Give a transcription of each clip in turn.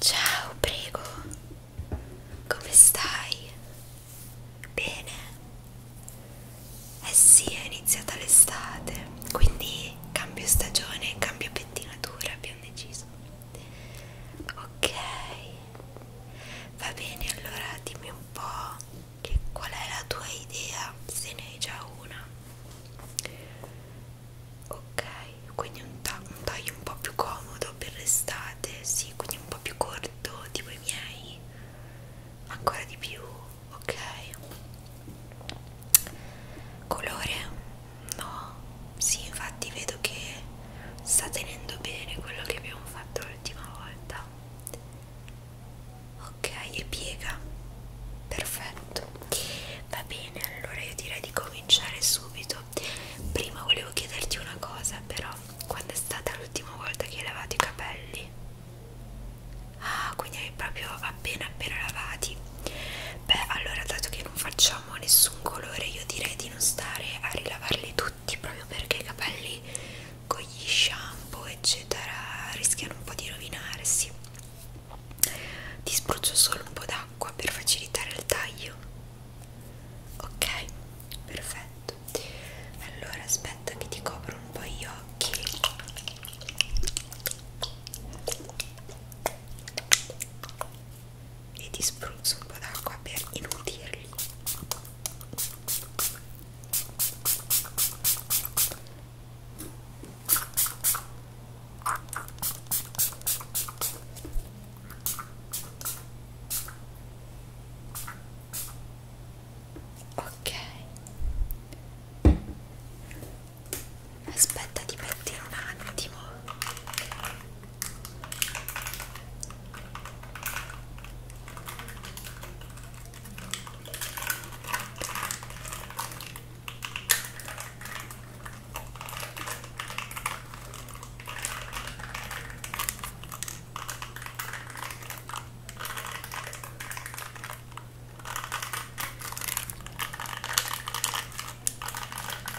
Ciao, prego. Come stai? Bene. Eh sì, è iniziata l'estate, quindi cambio stagione, cambio pettinatura, abbiamo deciso ok va bene allora dimmi un po' che qual è la tua idea se ne hai già una ok quindi un, un taglio un po' più comodo per l'estate sì quindi un po' più corto tipo i miei ancora di più ok colore No, sì, infatti vedo che sta tenendo bene quello che abbiamo fatto l'ultima volta. Ok, e piega. Perfetto. Va bene, allora io direi di cominciare subito. Prima volevo chiederti una cosa, però, quando è stata l'ultima volta che hai lavato i capelli? Ah, quindi hai proprio appena appena lavati. Beh, allora dato che non facciamo nessun colore, io direi di non stare a rilavarli tutti proprio perché i capelli con gli shampoo eccetera rischiano un po' di rovinarsi. Ti spruzzo solo un po' d'acqua per facilitare il taglio. Ok, perfetto. Allora aspetta che ti copro un po' gli occhi e ti spruzzo un po' d'acqua per inutirli ok aspetta di mettere un attimo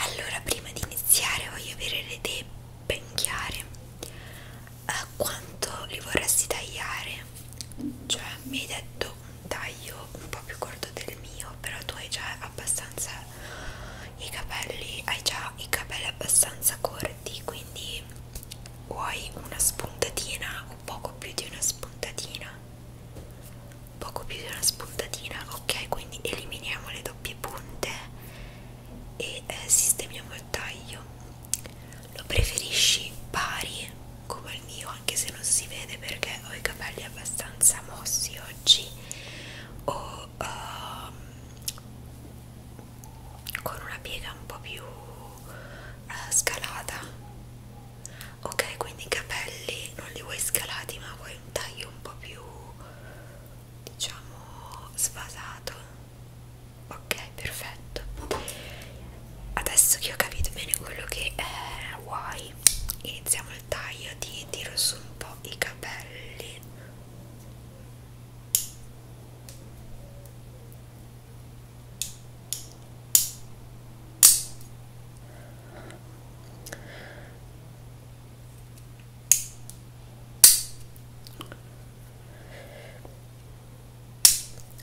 Allora, prima di iniziare voglio avere le idee ben chiare. A quanto li vorresti tagliare? Cioè, mi hai detto un taglio un po' più corto del mio, però tu hai già abbastanza i capelli, hai già i capelli abbastanza corti, quindi vuoi una spuntatina o poco più di una spuntatina? Poco più di una spuntatina, ok, quindi eliminiamo le doppie punte e eh, sistemiamo il taglio lo preferisci pari come il mio anche se non si vede perché ho i capelli abbastanza mossi oggi o um, con una piega un po' più uh, scalata ok quindi i capelli non li vuoi scalati ma vuoi un taglio un po' più diciamo svasato ok perfetto adesso che ho capito bene quello che è vuoi iniziamo il taglio ti tiro su un po' i capelli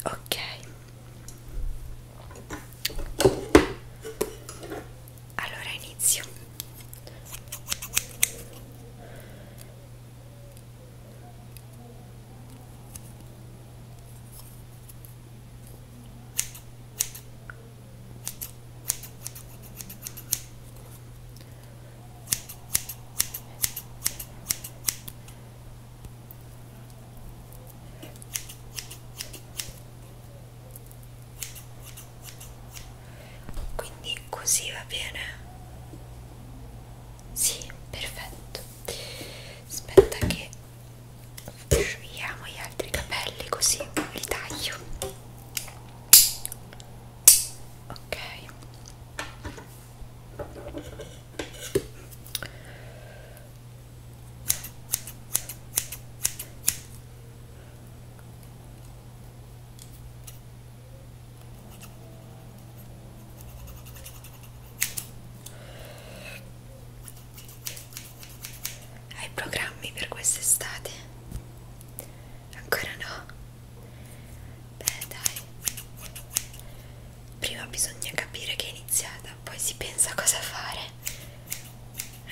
Ok, allora inizio. Quindi così va bene? Sì, perfetto. Aspetta che asciughiamo gli altri capelli così li taglio ok hai programmi per quest'estate? Ancora no. Beh, dai. Prima bisogna capire che è iniziata, poi si pensa a cosa fare.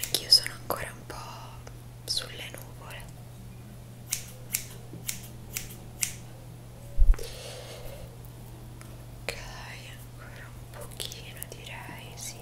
Anch'io sono ancora un po' sulle nuvole. Ok, ancora un pochino direi, sì.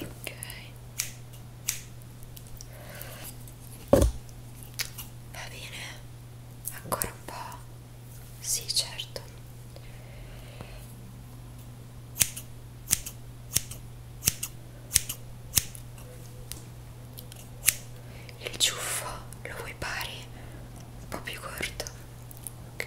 ok va bene ancora un po' sì certo il ciuffo lo vuoi pari un po' più corto ok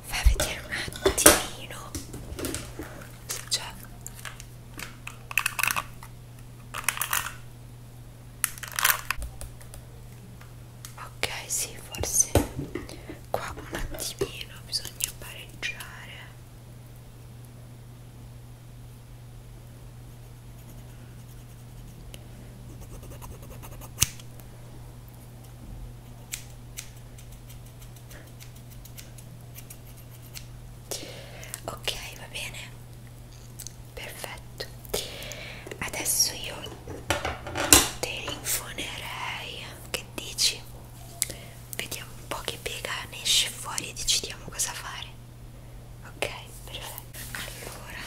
fa vedere un attimino cioè ok sì forse qua un attimino bisogna pareggiare Ok, va bene, perfetto. Adesso io te infonerei, che dici? vediamo un po' che pega ne esce fuori e decidiamo cosa fare ok perfetto allora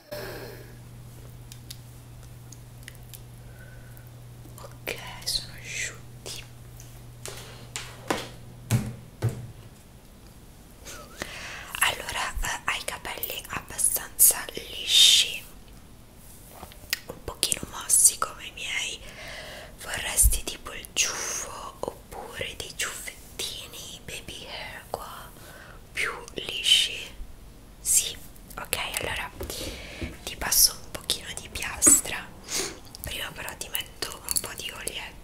ok sono asciutti allora eh, hai i capelli abbastanza lisci un pochino mossi come i miei vorresti tipo il ciuffo oppure dei ciuffettini baby hair qua più lisci sì ok allora ti passo un pochino di piastra prima però ti metto un po' di olietto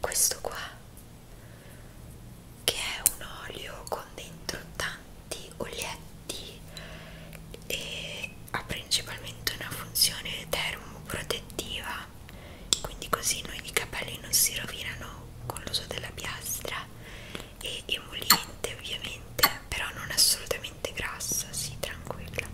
questo qua che è un olio con dentro tanti olietti UV e ha principalmente una funzione termoprotettiva quindi così noi i capelli non si rovinano con l'uso della piastra e emoliente ovviamente però non assolutamente grassa si sì, tranquilla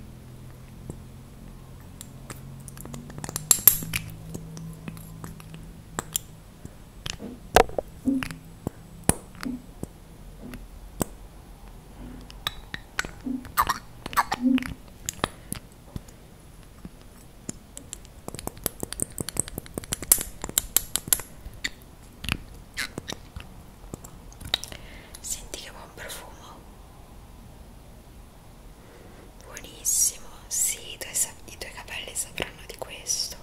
Senti che buon profumo. Buonissimo. Sì, i tuoi, i tuoi capelli sapranno di questo.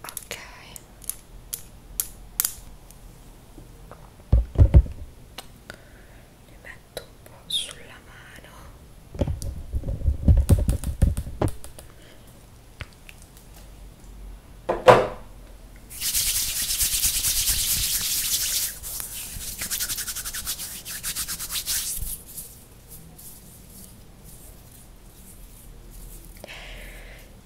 ok li metto un po' sulla mano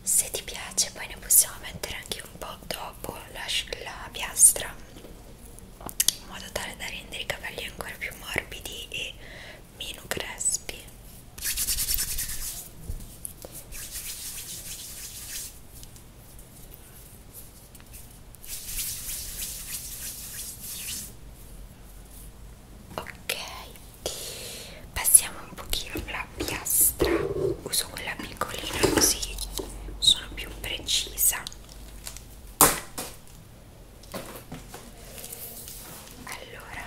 se ti piace poi ne possiamo mettere anche un po' dopo la, la piastra in modo tale da rendere i capelli ancora più morbidi e meno crespi ok passiamo un pochino alla piastra uso quella piccolina così sono più precisa allora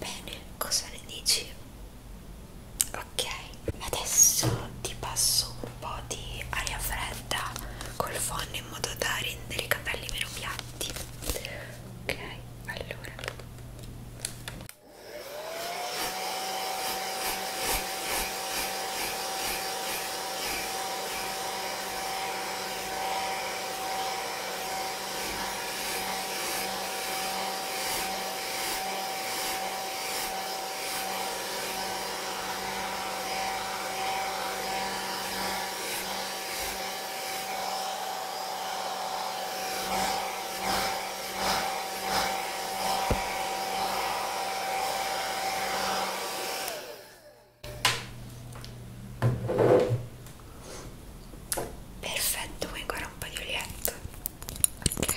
Bene, cosa ne dici? Ok, adesso ti passo un po' di aria fredda col phon in modo da rendere i capelli meno piatti ok allora Ecco Perfetto, vuoi ancora un po' di olietto? Ok.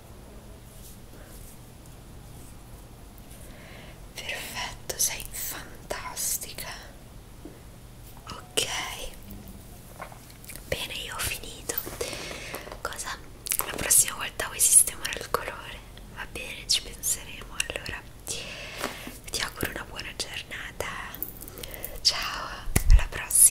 Perfetto, sei fantastica. Ok. Bene, io ho finito. Cosa? La prossima volta vuoi sistemare il colore? Va bene, ci penseremo allora. Ti auguro una buona giornata. Ciao, alla prossima.